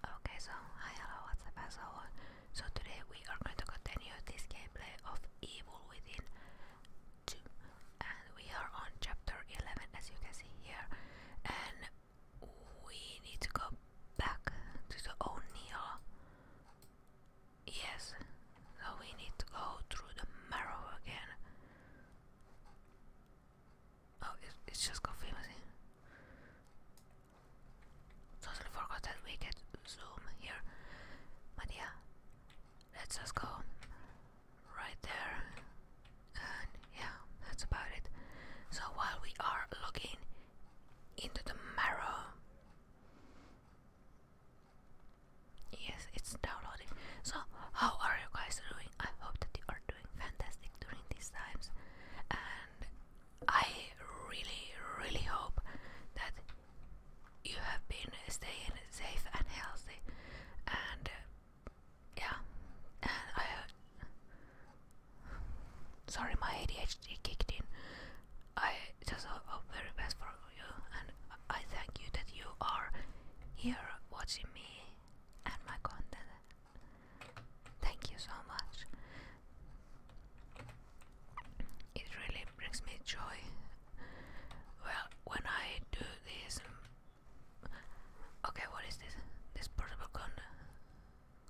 Okay, so hi, hello, what's up, asshole? So today we are going to continue this gameplay of Evil Within 2, and we are on chapter 11, as you can see here, and we need to go back to the old O'Neill. Yes, so we need to go through the marrow again. Oh, it's just confusing. Totally forgot that we get zoom here. But let's just go right there. yeah, that's about it. So while we are looking into the marrow, yes, it's downloading. So, how are you guys doing? I hope that you are doing fantastic during these times. And I really, really hope that you have been staying safe and healthy, and uh, yeah, and I. Uh, sorry, my ADHD kicked in. I just hope, hope very best for you, and I thank you that you are here watching me and my content. Thank you so much. It really brings me joy. Well, when I do this. Okay, what is this? This portable con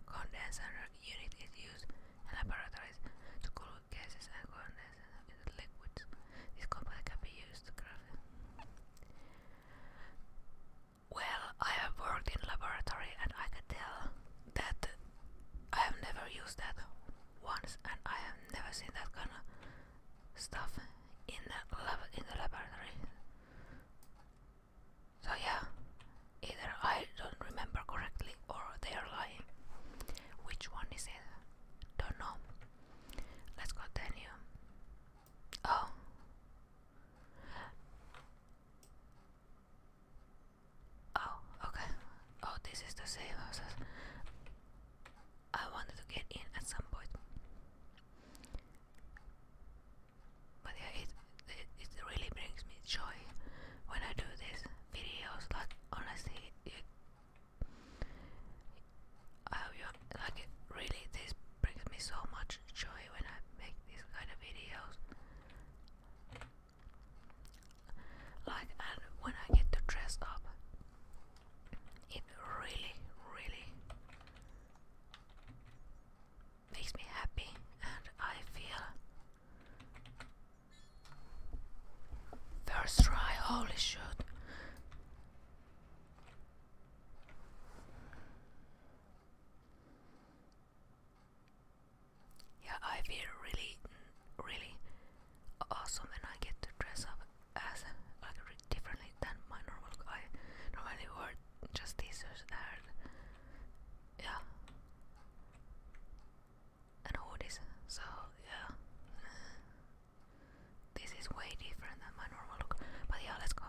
condenser unit is used in laboratories to cool gases and condense liquids. This component can be used to craft well, I have worked in laboratory and I can tell that I have never used that once and I have never seen that kind of stuff in the lab in the laboratory. So yeah, either I don't remember correctly or they are lying. Which one is it? Don't know. Let's continue. Oh. Oh, okay. Oh, this is the same as I wanted to get in at some point. But yeah, it, it, really brings me joy when I do these videos. Like, honestly, it, I like really this brings me so much much joy when I make these kind of videos. Like, and when I get to dress up, it really, really makes me happy, and I feel first try. Holy shoot! Yeah, I feel really, really awesome when I get to dress up as like differently than my normal. Look. I normally wear just t-shirts and yeah, and hoodies. So yeah, this is way different than my normal look. But yeah, let's go.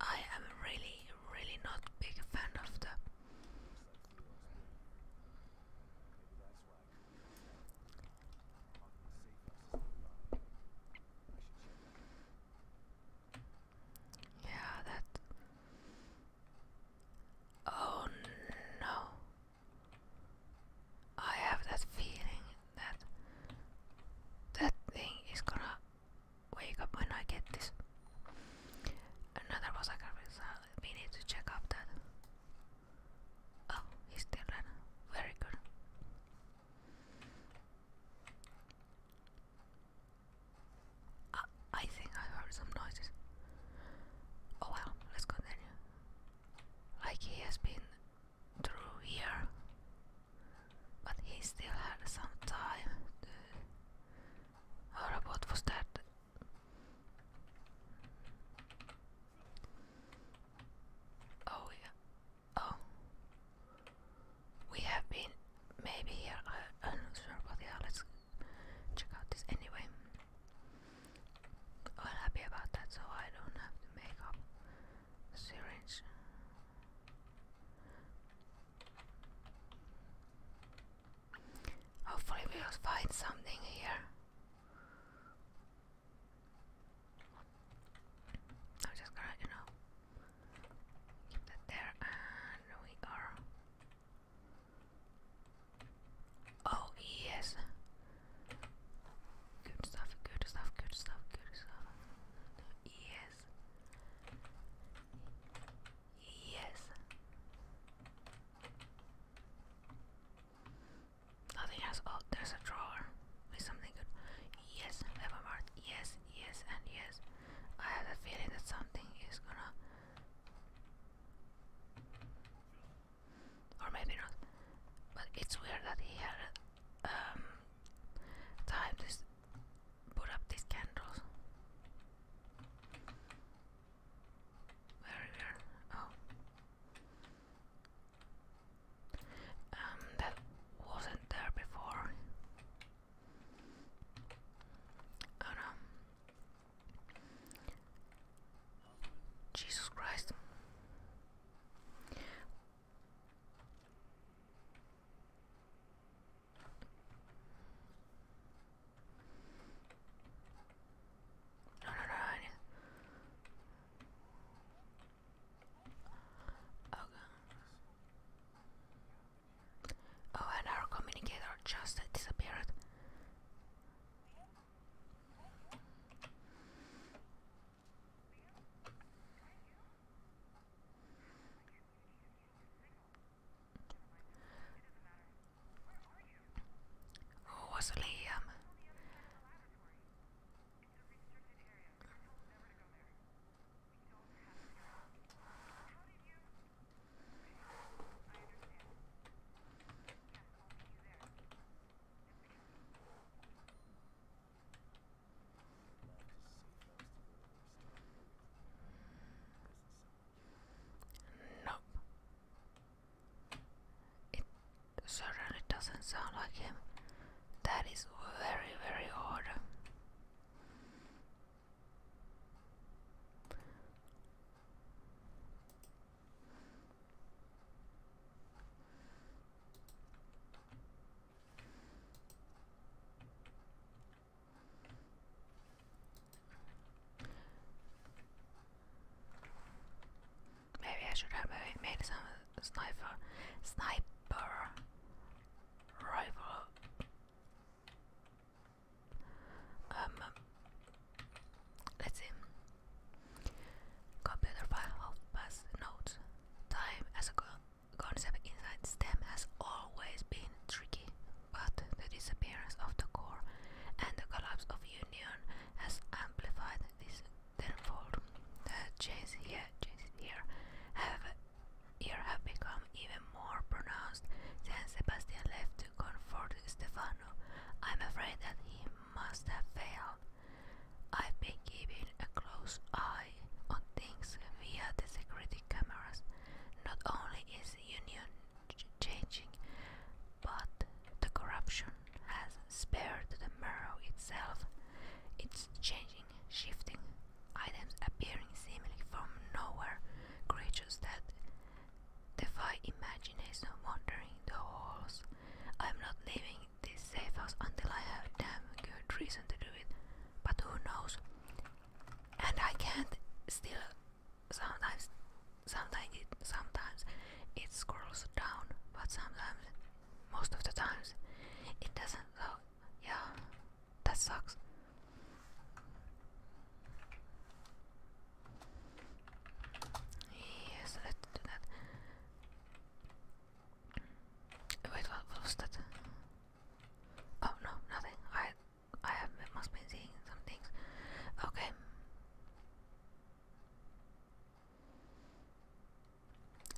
I am really, really not big fan of the yeah, that. Oh no. I have that feeling that that thing is gonna wake up when I get this. Another was result. Uh, we need to check up that. Oh, he's still running. Very good. Uh, I think I heard some noises. Oh well, let's continue. Like he has been through here. But he still had some time to... Our robot was dead. Oh yeah. Oh. We have been maybe here. I, am not sure, but yeah, let check out this anyway. I'm happy about that, so I don't have to make up syringe. Hopefully, we'll find something here. I'm just gonna, you know, keep that there, and we are. Oh, yes! Good stuff, good stuff, good stuff, good stuff. Yes. Yes. Oh, they oh, there's a drawer with something good. Yes, Evermart. Yes, yes, and yes. I have a feeling that something is gonna. Or maybe not. But it's weird that he had um, time this put up these candles. Where, where? Oh. Um, that wasn't there before. Oh no. Jesus Christ. No, no, no, Okay. Oh, and our communicator just disappeared. Who was Liam? Nope. It certainly doesn't sound like him. That is very, very odd. Maybe I should have made some sniper sniper rifle. Um let's see. Computer file of past Time as a girl concept inside STEM has always been tricky, but the disappearance of the core and the collapse of union has amplified this tenfold. The changes here, here have here have become even more pronounced since Sebastian left to comfort Stefano. I'm afraid that he must have failed. I've been keeping a close eye on things via the security cameras. Not only is union changing, but the corruption has spared the marrow itself. It's changing, shifting, items appearing seemingly from nowhere, creatures that defy imagination wandering the halls. I'm not leaving this safe house until I have damn good reason to do it but who knows? And I can't still sometimes sometimes it sometimes it scrolls down, but sometimes most of the times it doesn't so yeah that sucks. Yes, let's do that. Wait, what was that? Oh no, nothing. I I have must be seeing some things. Okay.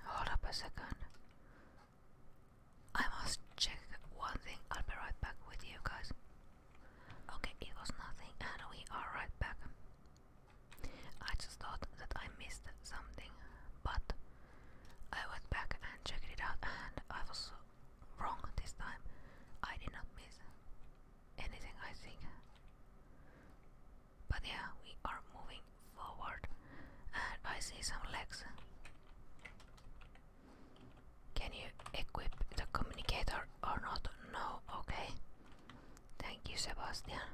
Hold up a second. I must check one thing. I'll be right back with you guys. Okay, it was nothing, and we are right back. I just thought that I missed something, but I went back and checked it out, and I was wrong this time. I did not miss anything, I think. But yeah, we are moving forward, and I see some legs. Can you equip the communicator or not? No, okay. Thank you, Sebastian.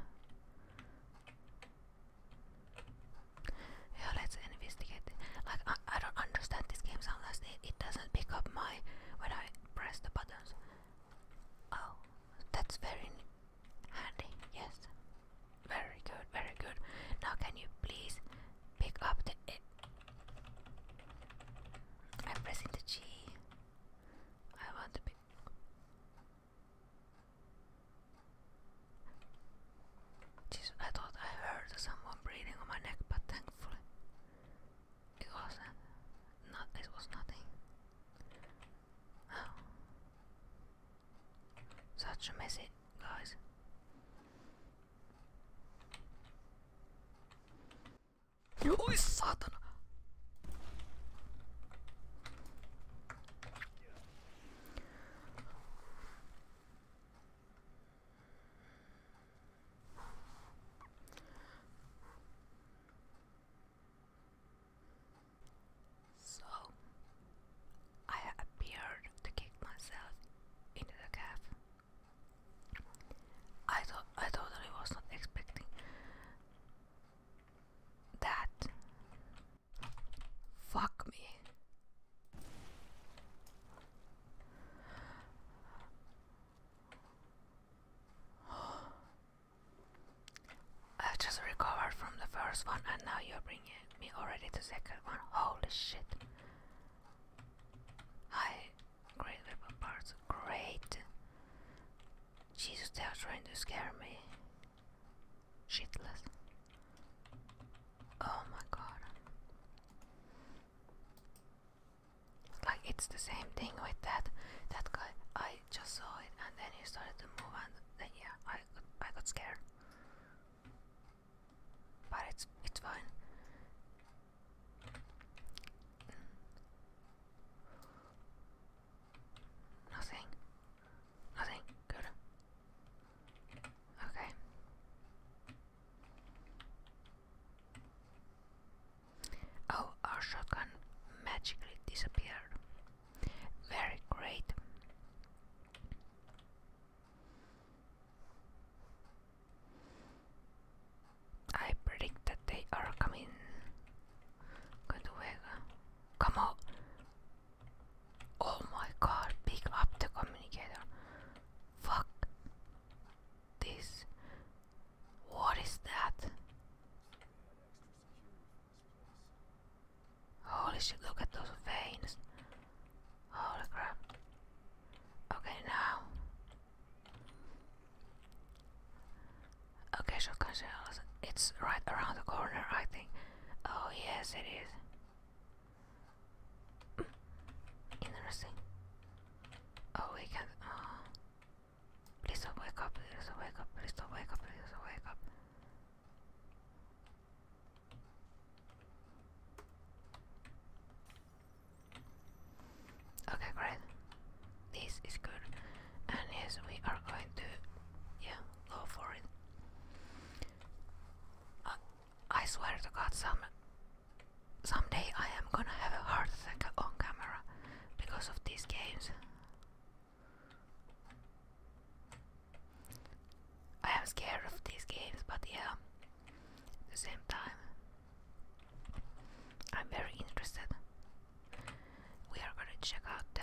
Yeah, let's investigate. Like I, I don't understand this game sometimes. It, it doesn't pick up my when I press the buttons. Oh, that's very handy. Yes, very good, very good. Now can you please pick up the? E I'm pressing the G. I want to pick. Jeez, I thought I heard someone breathing on my neck, but thankfully it was uh, not. It was nothing. Oh. such a message, guys. Ой, сатана! So I appeared to kick myself into the calf. I thought I totally was not expecting that Fuck me. I've just recovered from the first one and now you're bringing me already to second one. Holy shit. Hi, great weapon parts. Great. Jesus, they are trying to scare me. Shitless. Oh my god. Like it's the same thing with that that guy. I just saw it and then he started to move and then yeah, I got, I got scared. But it's it's fine. Mm. Nothing. Nothing. Good. Okay. Oh, our shotgun magically disappeared. Very great. I predict that they are coming. Going to Come on. Oh my god, pick up the communicator. Fuck this. What is that? Holy shit, look at those veins. Holy crap. Okay, now. Okay, shotgun shells. It's right around the corner, I think. Oh, yes, it is. Interesting. Oh, uh, wake up. Please don't wake up. Please don't wake up. Please don't wake up. Okay, great. This is good. And yes, we are going to, yeah, go for it. I swear to God, some someday I am gonna have a heart attack on camera because of these games. I am scared of these games, but yeah, at the same time, I'm very interested. We are gonna check out the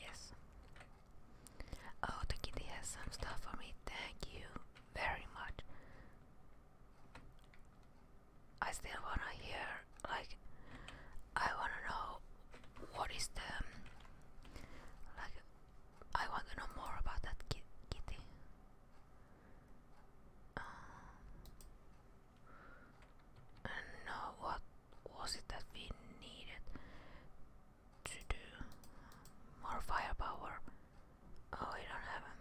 Yes. Oh, the kitty has some stuff for me. Thank you very much. I still wanna hear, like, I wanna know what is the, like, I want to know more about that kitty. Um, and now what was it that we needed to do? More firepower. Oh, we don't have them.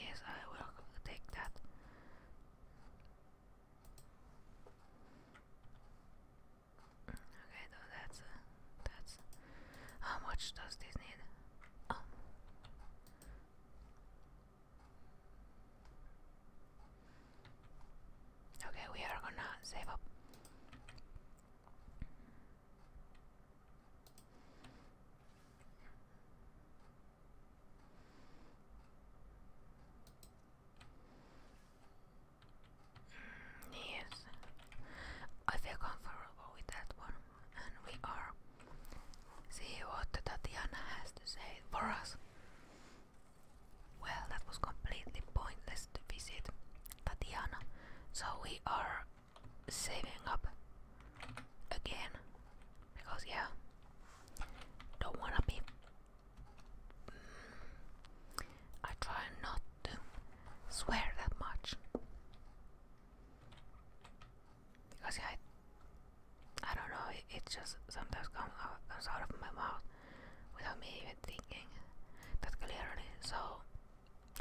Yes, I will take that. Okay, so that's uh, that's. How much does this need? Oh. Okay, we are gonna save up. Mm, yes, I feel comfortable with that one and we are. See what Tatiana has to say for us. Well, that was completely pointless to visit Tatiana, so we are saving up again because, yeah, don't wanna be. Mm, I try not to swear that much because I, I don't know. It, just sometimes comes out, comes out of my mouth without me even thinking That's clearly. So,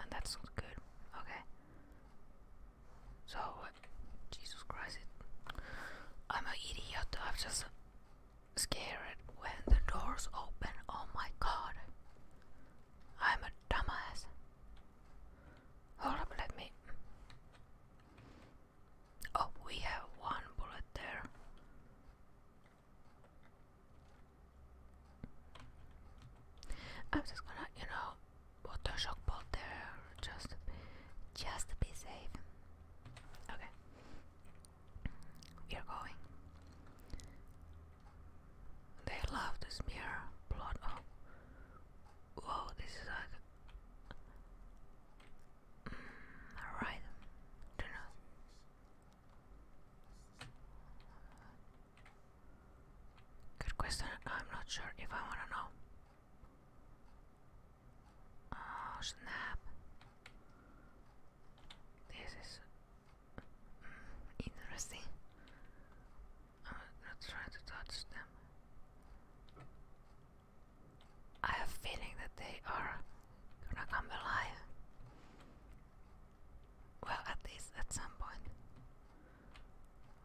and that's not good. Okay. So, Jesus Christ, I'm an idiot. I'm just scared when the doors open. Oh my God, I'm a dumbass. Hold up, let me. Oh, we have one bullet there. I'm just gonna, you know, put the shock bolt there just, just be safe. Okay, we are going. They love to smear blood. Oh, whoa! This is like Mm, right. Don't know. Good question. I'm not sure if I want to know. Oh snap! This is mm, interesting. I'm not trying to touch them. I have a feeling that they are gonna come alive. Well, at least at some point.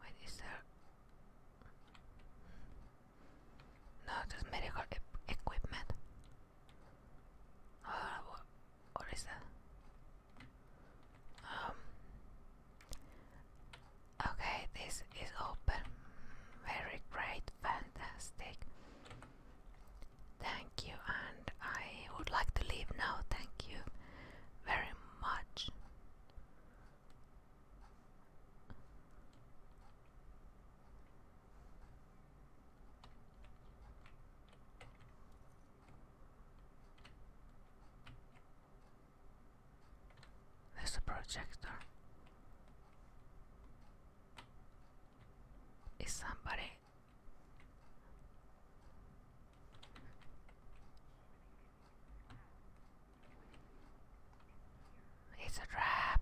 Wait, is No, just medical equipment. Oh, what, what is that? Um, Okay, this is open. Very great, fantastic. Thank you, and I would like to leave now. Thank you very much. There's a projector. Is somebody? It's a trap.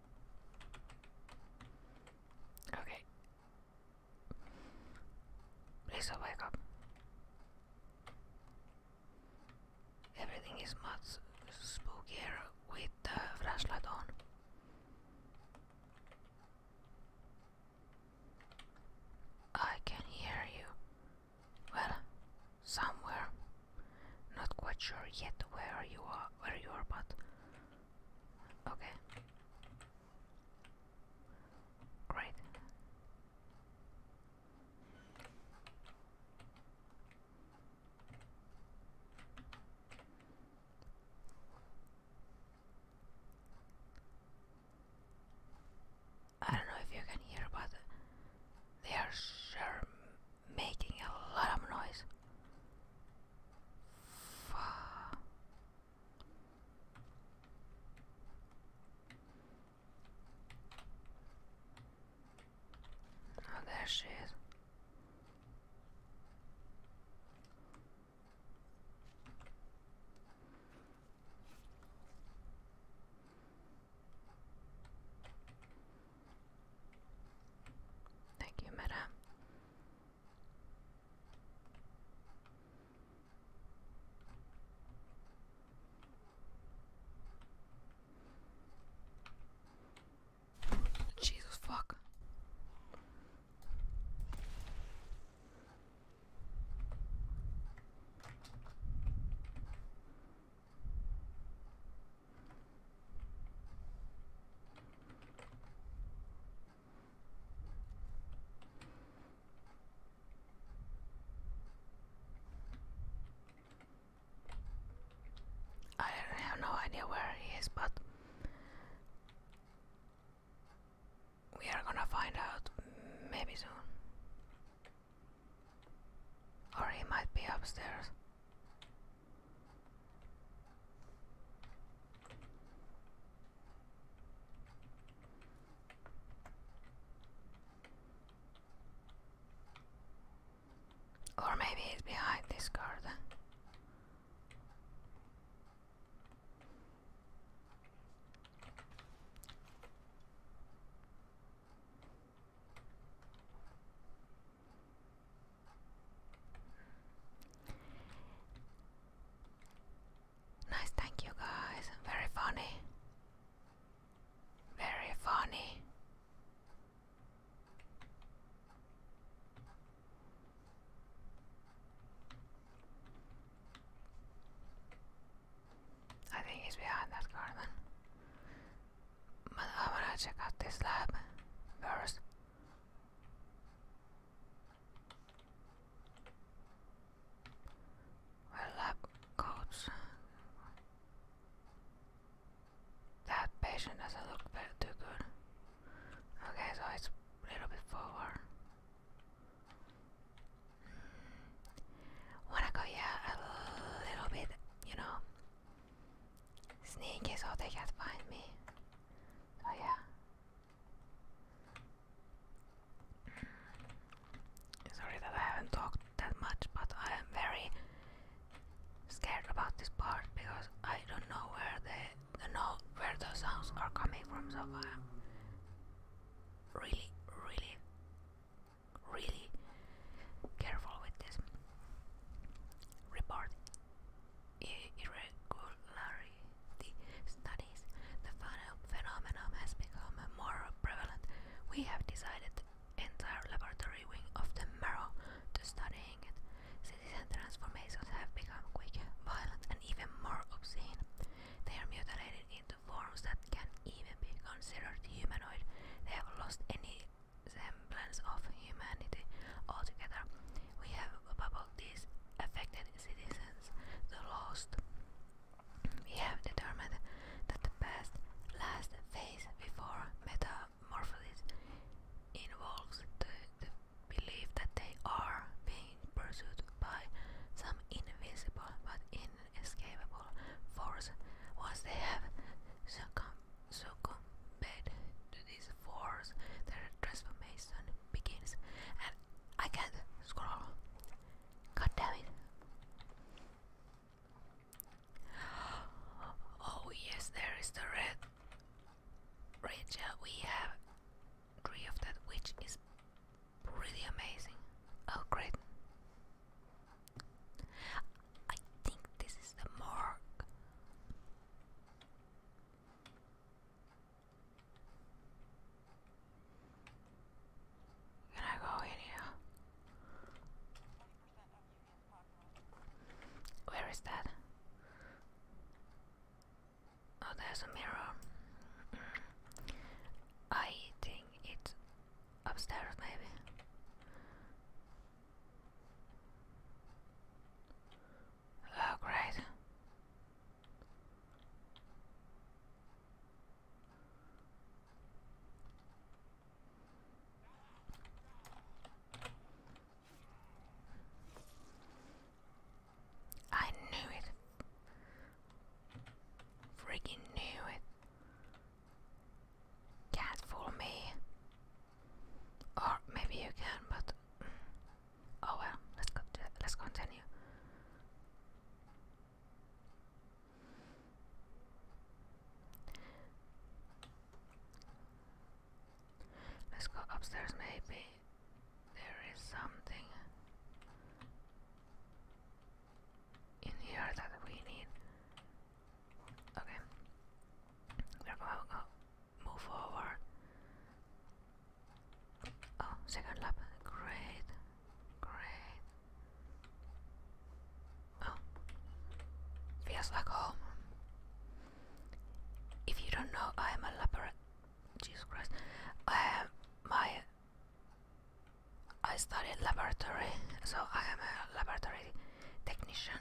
Okay. Please wake up. Everything is much spookier with the flashlight on. I can hear you. Well, somewhere. Not quite sure yet where you are, where you are, but okay. Great. I don't know if you can hear, but they are sure making a lot of noise. Oh, there she is. Thank you, Meta. Jesus fuck. I have no idea where he is, but we are gonna find out maybe soon. Or he might be upstairs. Or maybe it's behind this garden. Nice, thank you guys. Very funny. Very funny. I think he's behind that car but I wanna check out this lab first. Well, lab coats. That patient doesn't look too good. Okay, so it's a little bit forward. Wanna go, yeah, a little bit, you know, Sneaky all they can't find me. So oh, yeah. Mm. Sorry that I haven't talked that much, but I am very scared about this part because I don't know where the, the no, where those sounds are coming from. So I am really, really, really Careful with this. Report irregularity studies. The phenomenon has become more prevalent. We have decided entire laboratory wing of the Marrow to studying it. Citizen transformations have become quick, violent, and even more obscene. They are mutilated into forms that can even be considered humanoid. They have lost any the semblance of humanity altogether. We have bubbled these affected citizens, the lost. We have determined that the past last phase before metamorphosis involves the belief that they are being pursued by some invisible but inescapable force once they have succumbed so succumbed to this force, their transformation begins. And I can scroll. God damn it. Oh yes, there is the red ranger. We have three of that, which is pretty amazing. Oh great. I think this is the morgue. Can I go in here? Where is that? Oh, there's a mirror. Mm. I think it's upstairs, maybe. Oh, great. I knew it. Freaking knew it. Can't fool me. Or maybe you can, but mm, oh well. Let's go. Let's continue. Let's go upstairs. Maybe there is something in here that we need. Okay. We're going to uh, move forward. Oh, second lap. Great. Great. Oh. Feels like home. If you don't know, I am a laboratory. Jesus Christ. I am my. I studied laboratory, so I am a laboratory technician.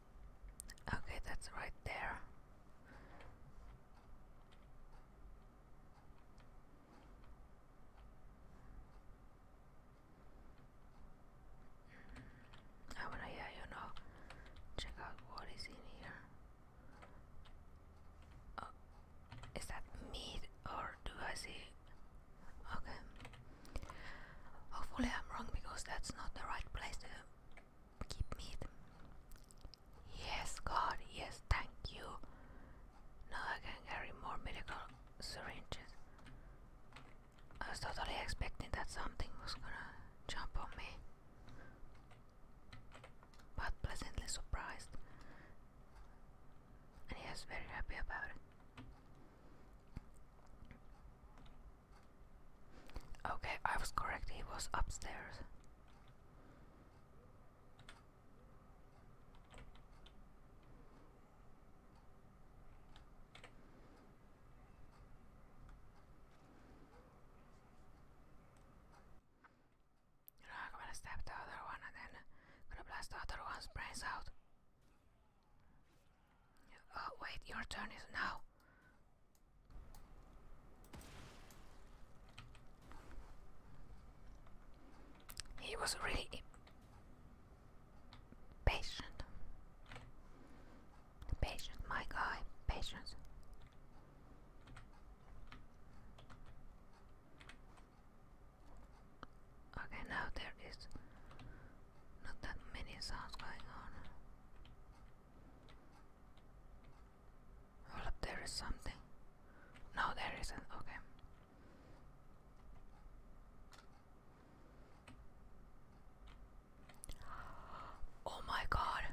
Okay, that's right there. I ah, wanna, yeah, you know, check out what is in here. Oh, that meat or do I see? Okay. Hopefully I'm wrong because that's not the right place to keep me. Yes, God, yes, thank you. Now I can carry more medical syringes. I was totally expecting that something was gonna jump on me, but pleasantly surprised. And he was very happy about it. Okay, I was correct, he was upstairs. I'm gonna stab the other one and then gonna blast the other one's brains out. Oh, wait, your turn is now. He was really patient. Patient, my guy, patience. Okay, now there is not that many sounds going on. Well, there is something. No, there isn't. Okay. Oh my god.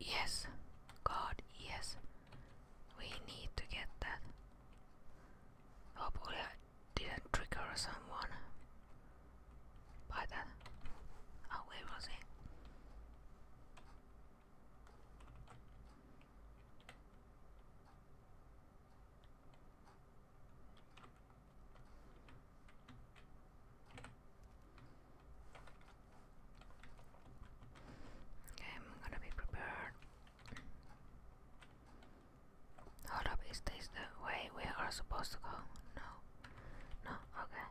Yes. God, yes. We need to get that. Hopefully, didn't trigger someone by that. Oh, where was he? Okay, I'm gonna be prepared. Hold up, is this the way we are supposed to go? No. No, okay.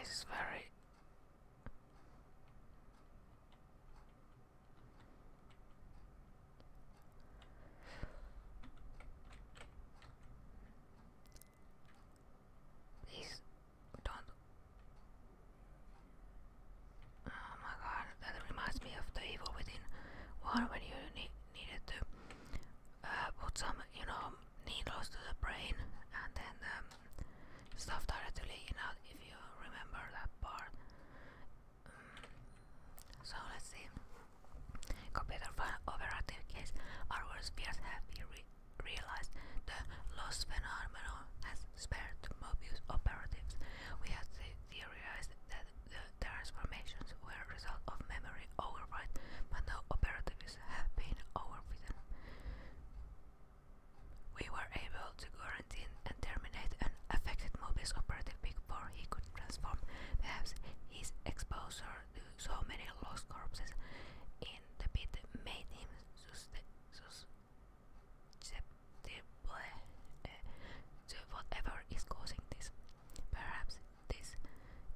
This is very Please don't. Oh my god, that reminds me of the evil within one when you needed to uh, put some, you know, needles to the brain and then um, stuff started to leaking if you remember that part. Mm. so let's see. Computer fan overactive case. Our worst have been realized the loss phenomenon has spared Mobius operatives. We have theorized that the transformations were a result of memory override, but no operatives have been overridden. We were able to quarantine and terminate an affected Mobius operative before he could transform. Perhaps his exposure so many lost corpses in the pit made him suspect eh, whatever is causing this. Perhaps this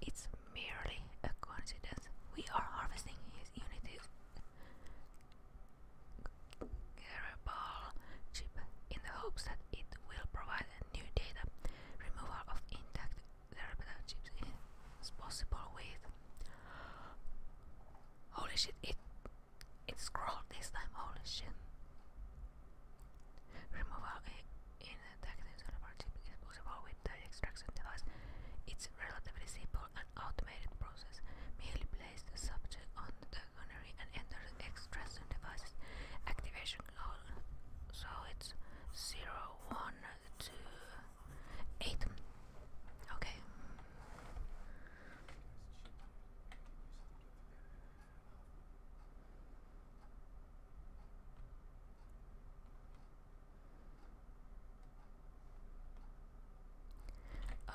it's merely a coincidence. We are harvesting his unity Garable chip in the hopes that it will provide new data. Removal of intact it's possible with. Holy shit! It it scrolled this time. Holy shit! Removal in a technical chip is possible with the extraction device. It's relatively simple and automated process. Merely place the subject on the gunnery and enter the extraction device's activation code. So it's zero one two. Eight. Okay.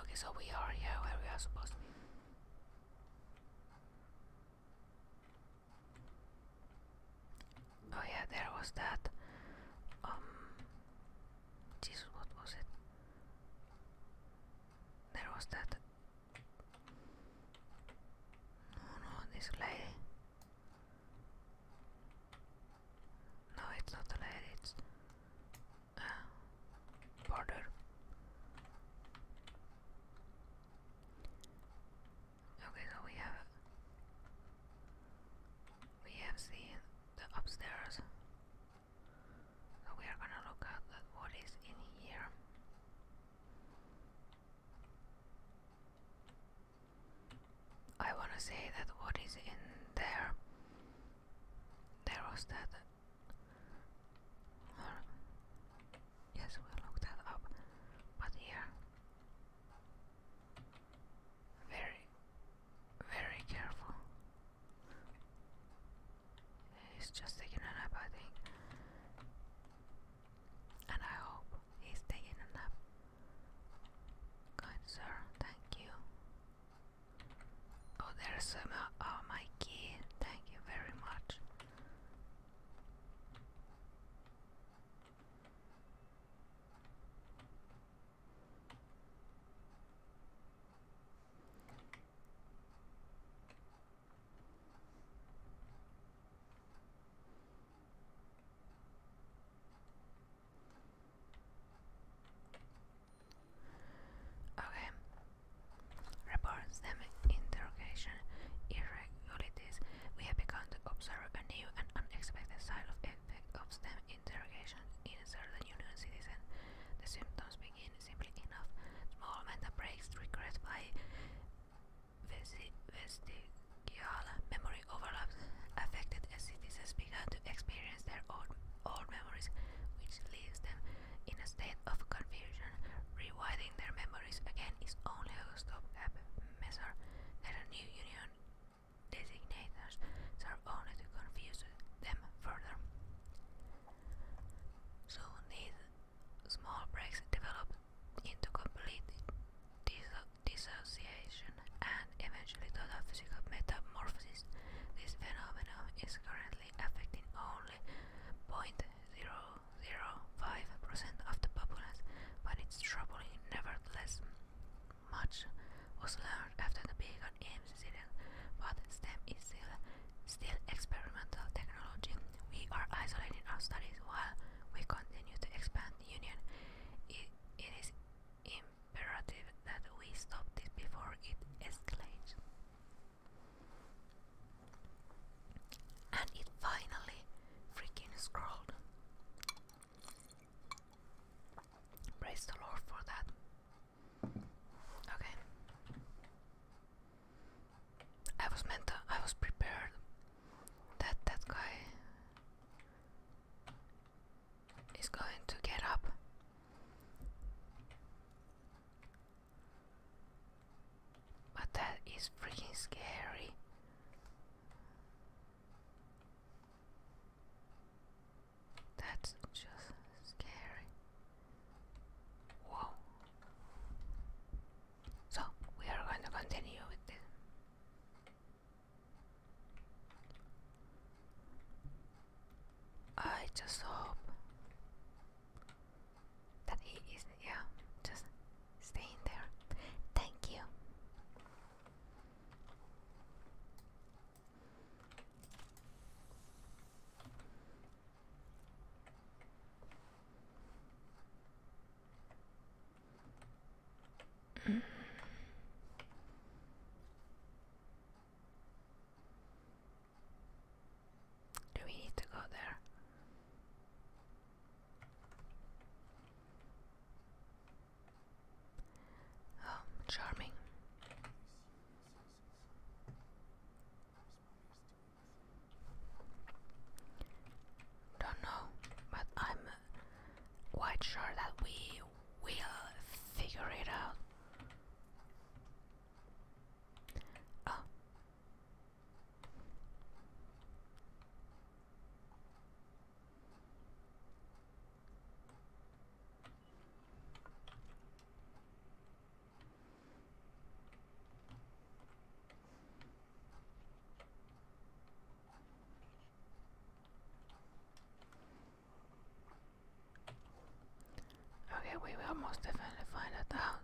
Okay, so we are here where we are supposed to be. Oh yeah, there was that. Um, Jesus, what was it? There was that. No, no, this lady. No, it's not a lady. It's uh, border. Okay, so we have we have seen the upstairs. we are gonna look at what is in here. I wanna say that what is in there. There was that. yes, we looked that up. But here. Where very careful. He's just taking a nap, I think. And I hope he's taking a nap. Good, sir, thank you. Oh, there's um, uh, oh, my key. Thank you very much. Okay. Reports them interrogation irregularities. We have begun to observe a new and unexpected side of effect of STEM interrogation in certain Union citizens, the symptoms begin simply enough. Small mental breaks triggered by vestigial memory overlaps. Affected as citizens begin to experience their own old memories, which leaves them in a state of confusion. Rewriting their memories again is only a stopgap measure that a new union designators serve only to confuse them further. Soon these small breaks develop into complete disso dissociation and eventually to total physical metamorphosis. This phenomenon is currently affecting only 0.005% of the population, but it's troubling nevertheless much was learned after the Beacon incident, but STEM is still, experimental technology. We are isolating our studies while we continue to expand the Union. it is imperative that we stop this before it escalates. And it finally freaking scrolled. Praise the Lord for that. Okay. I was meant to, I was prepared that that guy is going to get up. But that is freaking scary. That's just scary. Whoa. So, we are going to continue with this. I just hope that he is, yeah, just staying there. Thank you. Do we need to go there? Oh, charming. Don't know, but I'm quite sure that we will figure it out. Oh. Okay, we will most definitely find that out.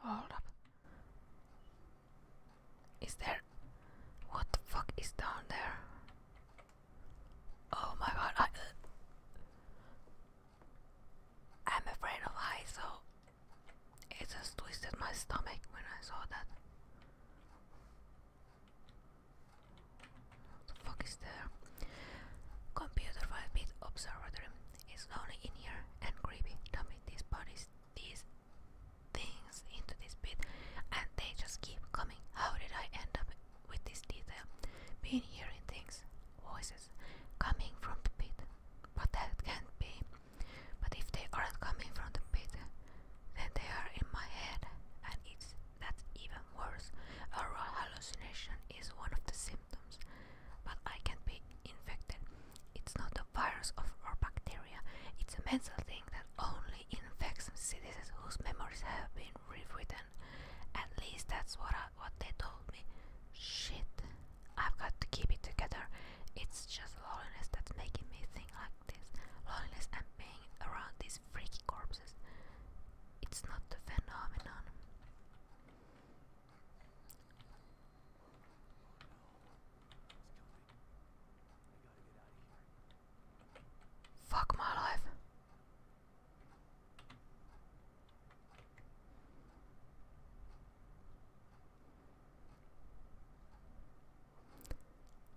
Hold up. Is there. What the fuck is down there? Oh my god, I. am uh, afraid of heights, so. It just twisted my stomach when I saw that. What the fuck is there? Computer bit observatory. It's lonely in here and creepy. Dummy, these bodies these things into this pit, and they just keep coming. How did I end up with this detail? Been hearing things, voices coming from the pit, but that can't be. But if they aren't coming from the pit, then they are in my head, and it's that's even worse. A hallucination is one of the symptoms, but I can be infected. It's not a virus of, or bacteria, it's a mental thing that only infects citizens whose memories have been rewritten. At least that's what, what they told me. Shit, I've got to keep it together. It's just loneliness that's making me think like this. Loneliness and being around these freaky corpses. It's not the phenomenon. Fuck my life.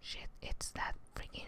Shit, it's that freaking.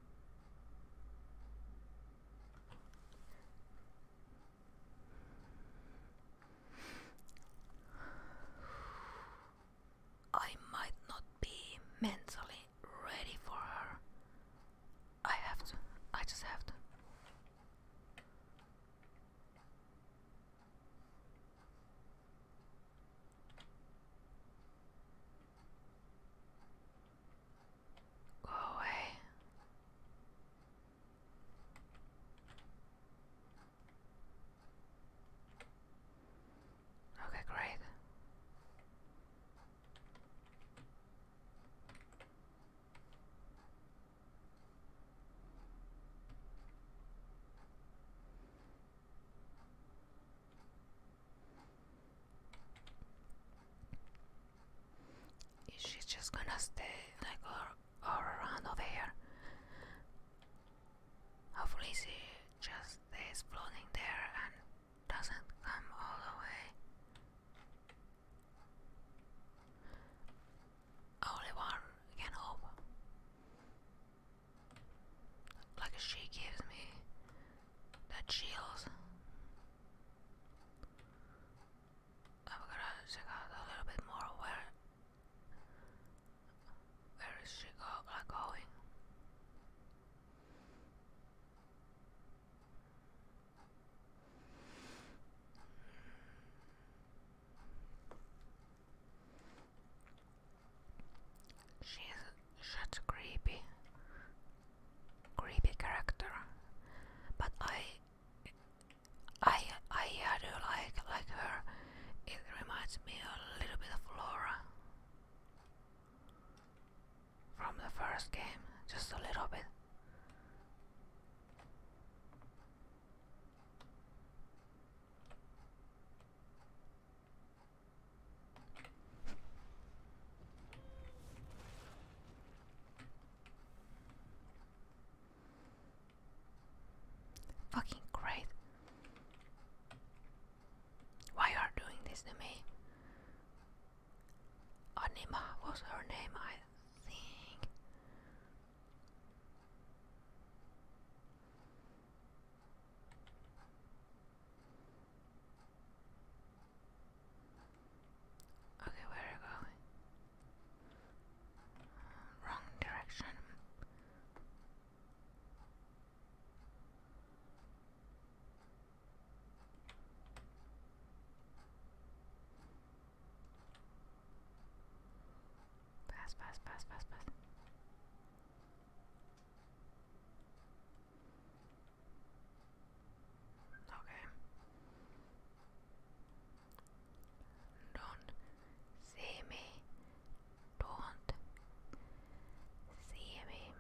I might not be mentally ready for her. I have to. I just have to. Go away. Okay, great. Is she just gonna stay like or, around over here? Hopefully she just stays floating there and doesn't come all the way. Only one can hope. Like she gives me that shields. I'm gonna check out a little bit more where where is she going. She's such creepy creepy character, but I, I, I do like like her. It reminds me a little bit of Flora from the first game, just a little bit. Fucking great. Why are doing this to me? Anima was her name, I think. Okay, where are we going? wrong direction. Pass, pass, pass, pass, pass. Okay. Don't see me. Don't see me.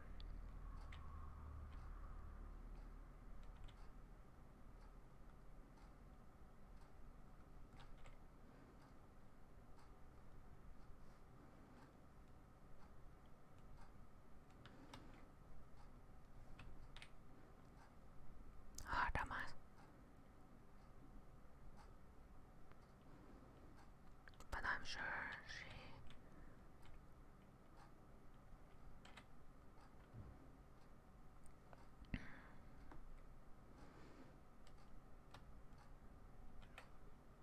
Ah, But I'm sure she.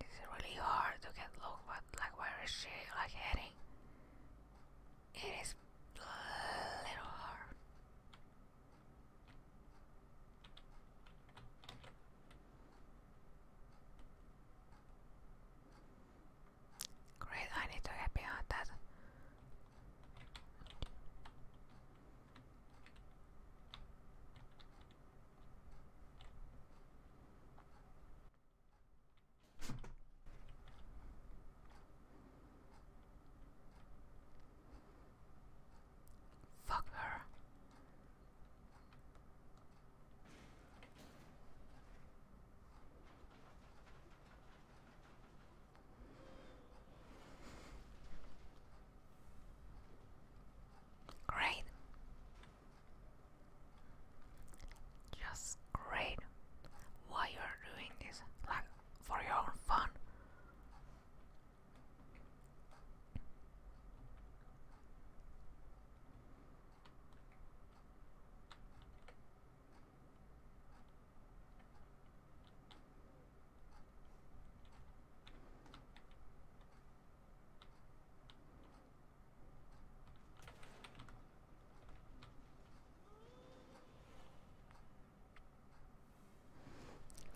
It's really hard to get look, but like where is she like heading? It is a little hard. Great, I need to get beyond that. Fuck her. Great. Just great. Why you are doing this? Like for your own fun.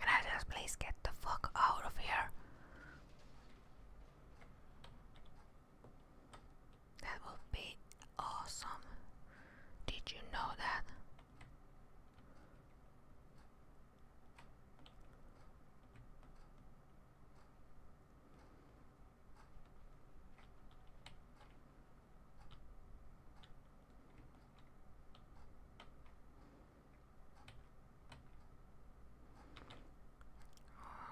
Can I just please get the fuck out of here? That would be awesome. Did you know that?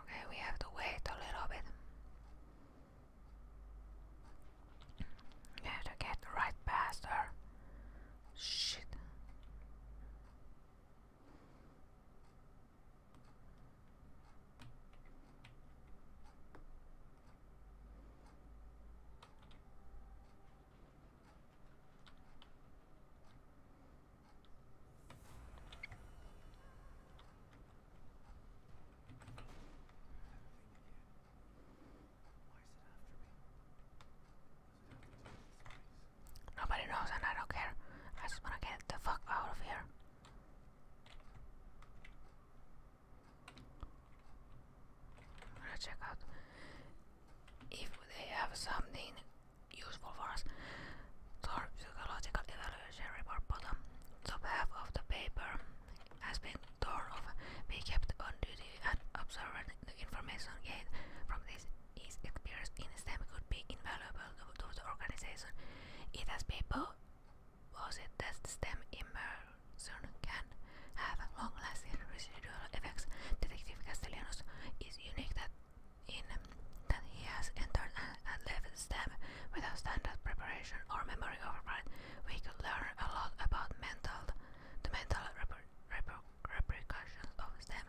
Okay, we have to wait a little bit. have to get right past her. Shit. Nobody knows and I don't care. I just wanna get the fuck out of here. I'm check out if they have something useful for us. Third psychological evaluation report bottom. Top half of the paper has been torn off. We kept on duty and observant. The information gained from this his experience in STEM could be invaluable to the organization. It has people was it that stem immersion can have long-lasting residual effects? Detective Castellanos is unique that in that he has entered and left STEM without standard preparation or memory override. We could learn a lot about mental, the mental repercussions of STEM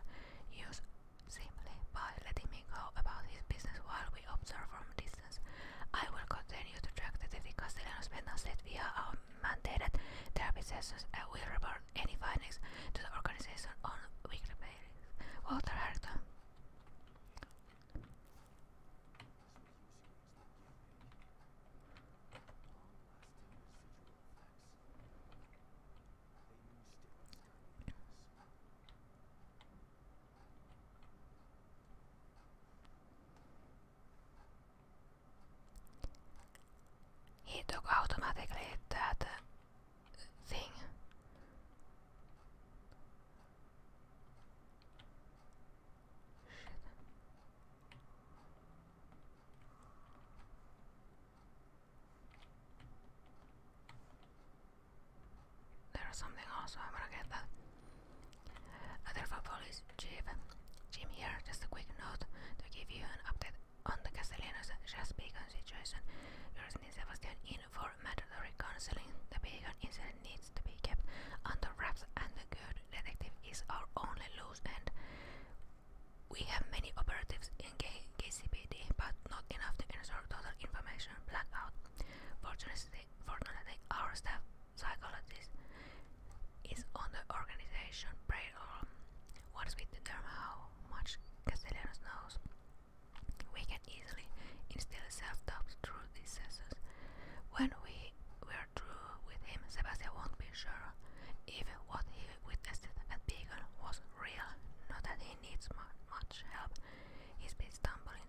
use simply by letting me go about his business while we observe from this I will continue to track the TV Castellanos Mendoza via our mandated therapy sessions and will report any findings to the organization on weekly basis. Walter Harrington. He took automatically that thing. Shit. There is something else, I wanna get that. for Police Chief Jim here, just a quick note to give you an update on the Castellanos Just Beacon situation. You're sending Sebastian in for mandatory counseling. The beacon incident needs to be kept under wraps, and the good detective is our only loose end. We have many operatives in K KCPD, but not enough to ensure total information blackout. Fortunately, Fortunately, fortunately our staff psychologist is on the organization brain Once we determine how much Castellanos knows, we can easily instill self-doubt through these sessions. When we were through with him, Sebastian won't be sure if what he witnessed at Beacon was real, not that he needs much help. He's been stumbling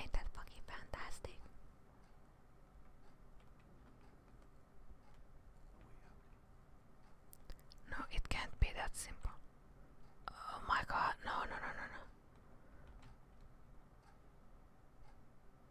ain't that fucking fantastic? No, it can't be that simple. Oh my god, no, no, no, no, no.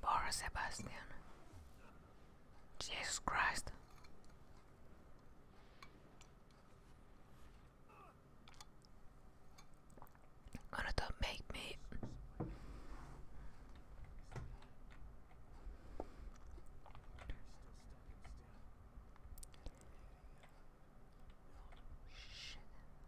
Boris Sebastian. Jesus Christ. Gonna do make me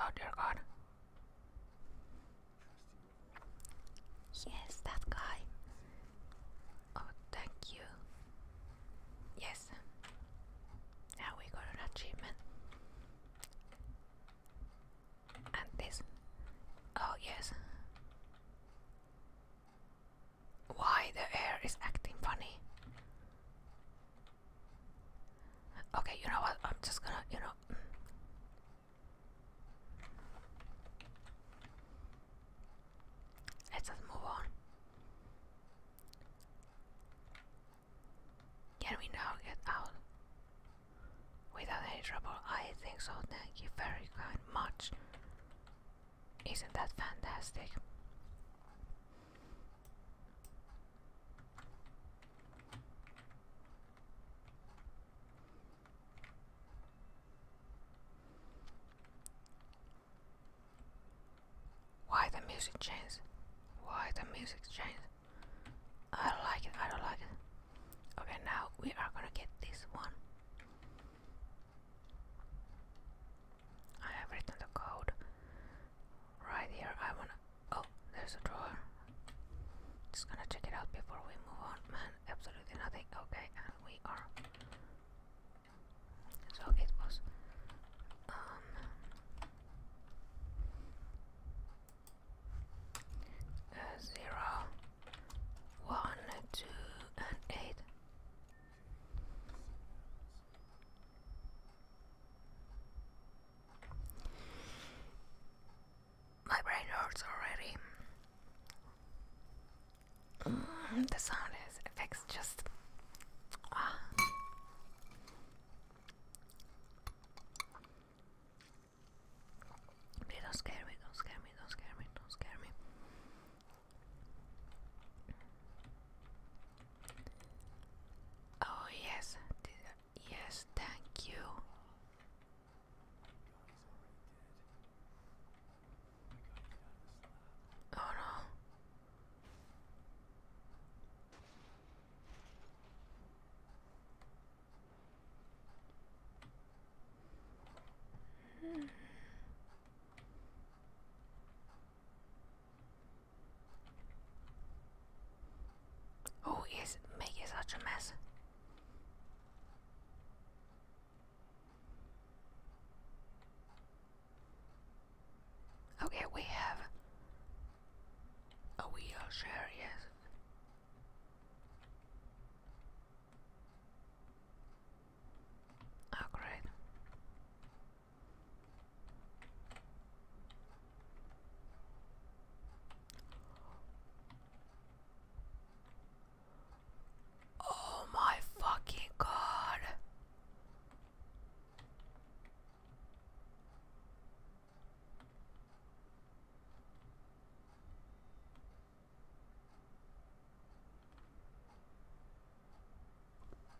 Oh dear god. Yes, that guy. Oh, thank you. Yes. Now we got an achievement. And this. Oh, yes. Why the air is acting funny? Okay, you know what? I'm just gonna, you know. Let's just move on. Can we now get out? Without any trouble, I think so. Thank you very kind much. Isn't that fantastic? Why the music changed? Why the music changed? I don't like it, I don't like it. Okay, now we are gonna get this one. I have written the code. Right here, I wanna. Oh, there's a drawer. Just gonna check it out before we move on. Man, absolutely nothing. Okay, and we are. So it was. Um, uh, zero, one, two, and eight. My brain hurts already. Mm, the sound is effects just. Ah. don't scare me, don't scare me, don't scare me, don't scare me. Oh yes, yes, thank you. Oh no. Hmm. Oh, Who is making such a mess? Okay, we have a wheelchair, yes. Oh, great. Oh, my fucking God.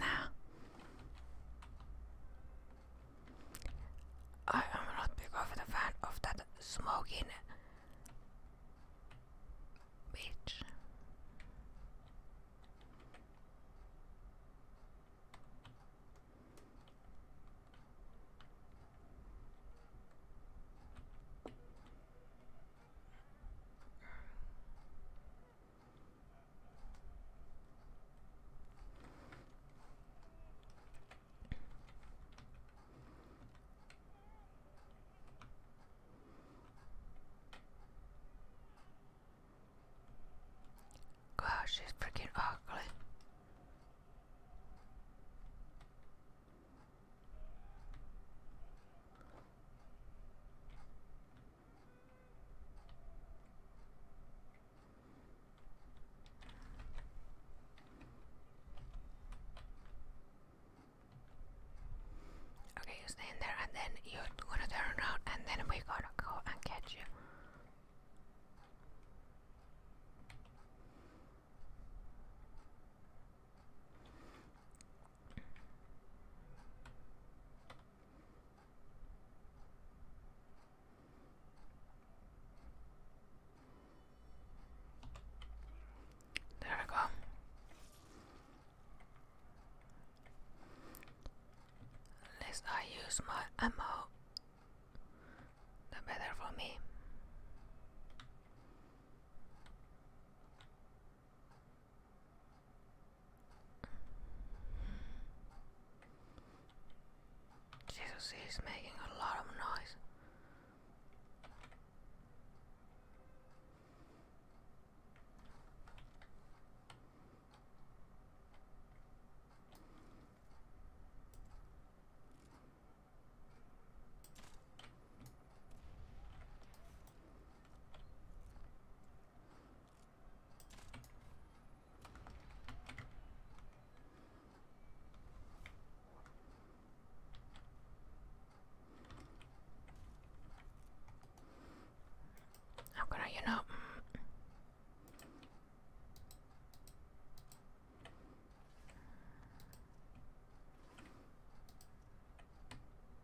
Now, I am not big of a fan of that smoking bitch. Gosh, she's freaking ugly. Okay, you stay in there and then you're gonna turn around and then we going to go and catch you. There we go. Less I use my ammo, the better for me. Jesus is making a lot of noise. How could I, know?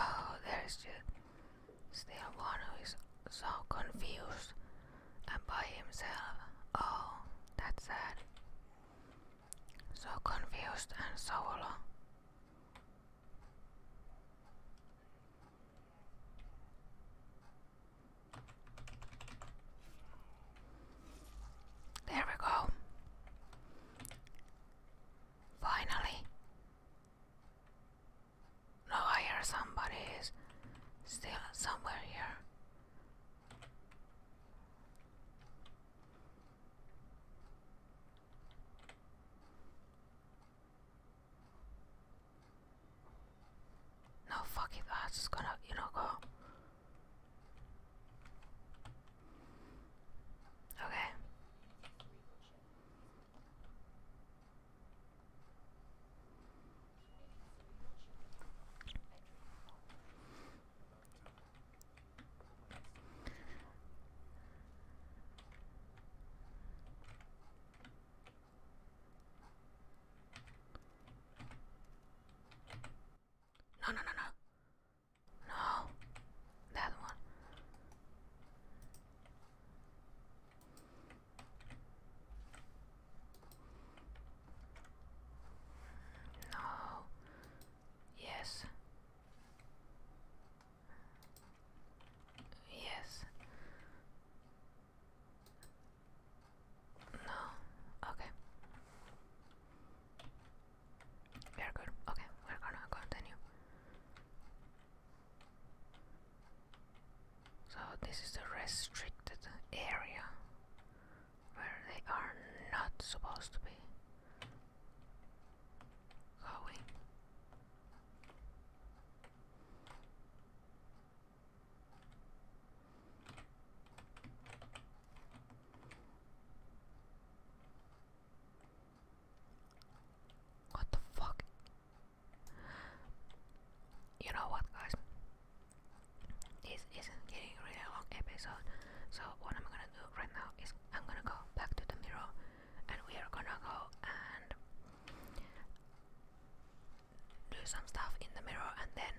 Oh, there's still one who is so confused and by himself. Oh, that's sad. So confused and so alone. There we go. Finally. No, I hear somebody is still somewhere here. No, fucking. it. just gonna, you know, go. Okay. No, no, no, no. No. That one. No. Yes. Yes. No. Okay. We're good. Okay, we're gonna continue. So this is the restricted area where they are not supposed to be going. What the fuck? You know what, guys? This isn't getting really long episode, so what I'm gonna do right now is I'm gonna go back to the mirror and we are gonna go and do some stuff in the mirror and then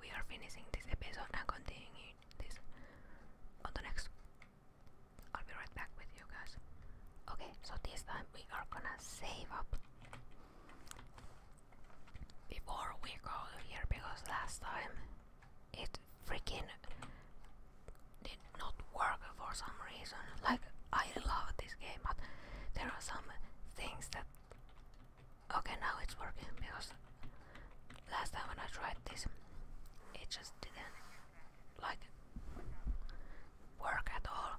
we are finishing this episode and continuing this on the next. I'll be right back with you guys. Okay, so this time we are gonna save up before we go here because last time it freaking did not work for some reason. Like I love this game, but there are some things that. Okay, now it's working because last time when I tried this, it just didn't like work at all.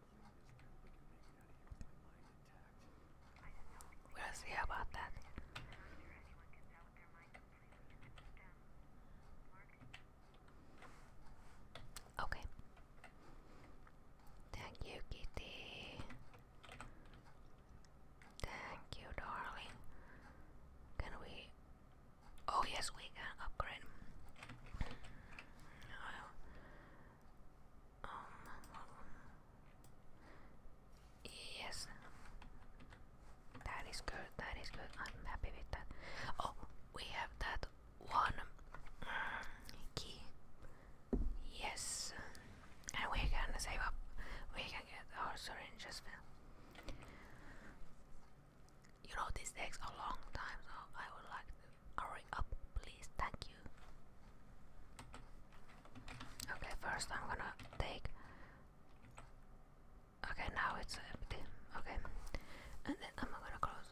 We'll see about that. Okay. Thank you, Kitty. Thank you, darling. Can we? Oh, yes, we can upgrade. Uh, um, yes. That is good, that is good. I'm happy with that. Oh, we have that one mm, key. Yes. And we can save up. We can get our syringes. You know, these takes a long time, so I would like Hurry up, please. Thank you. Okay, first I'm gonna take. Okay, now it's empty. Okay, and then I'm gonna close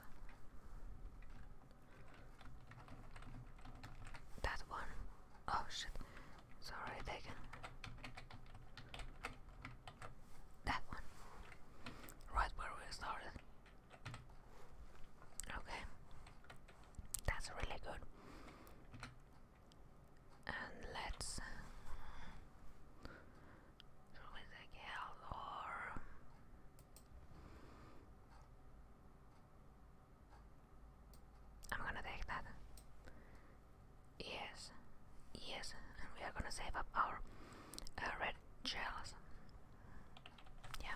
that one. Oh shit! Sorry, taken that one. Right where we started. Okay, that's really good. And let's throw it again or. I'm gonna take that. Yes, yes, and we are gonna save up our uh, red gels. Yeah,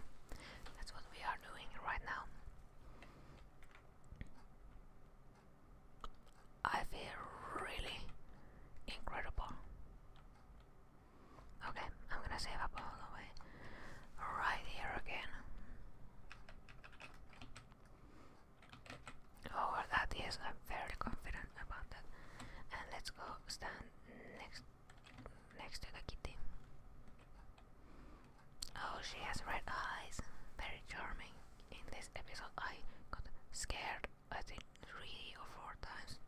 that's what we are doing right now. I feel really incredible. Okay, I'm gonna save up all the way right here again. Oh, that is, I'm fairly confident about that. And let's go stand next next to the kitty. Oh, she has red eyes. Very charming. In this episode, I got scared, I think, three or four times.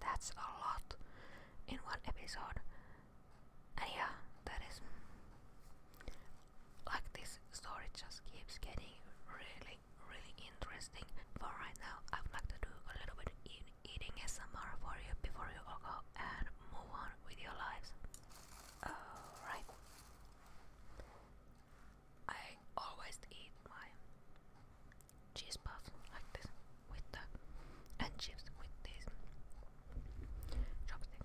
That's a lot in one episode. And yeah, that is. Like this story just keeps getting really, really interesting. For right now, I would like to do a little bit eating SMR for you before you go and move on with your lives. Alright. I always eat my cheese puffs like this with the and chips with these chopsticks.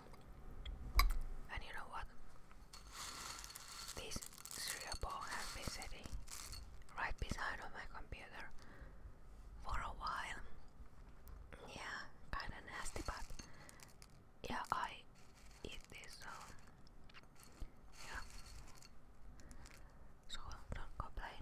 And you know what? This cereal bowl has been sitting right beside on my computer for a while. Yeah, kinda nasty, but yeah, I eat this, so yeah. So don't complain.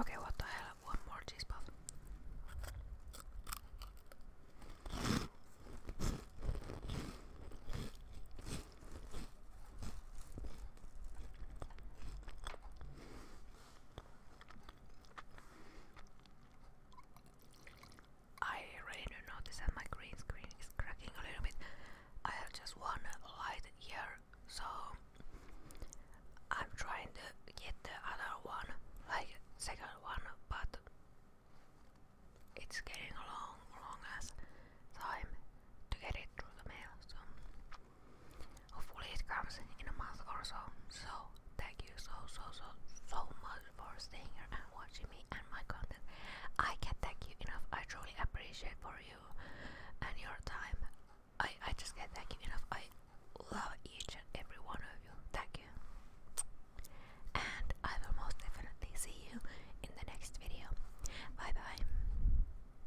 Okay, what the hell? One more cheese I really do notice that my green screen is cracking a little bit. I have just one light here, so I'm trying to get the other one, like second one, but it's getting a long, long ass time to get it through the mail. So Hopefully it comes in a month or so. So thank you so so so so much for staying here and watching me and my content. I can't thank you enough. I truly appreciate for you and your time. I I just can't thank you enough. I love each and every one of you. Thank you. And I will most definitely see you in the next video. Bye bye.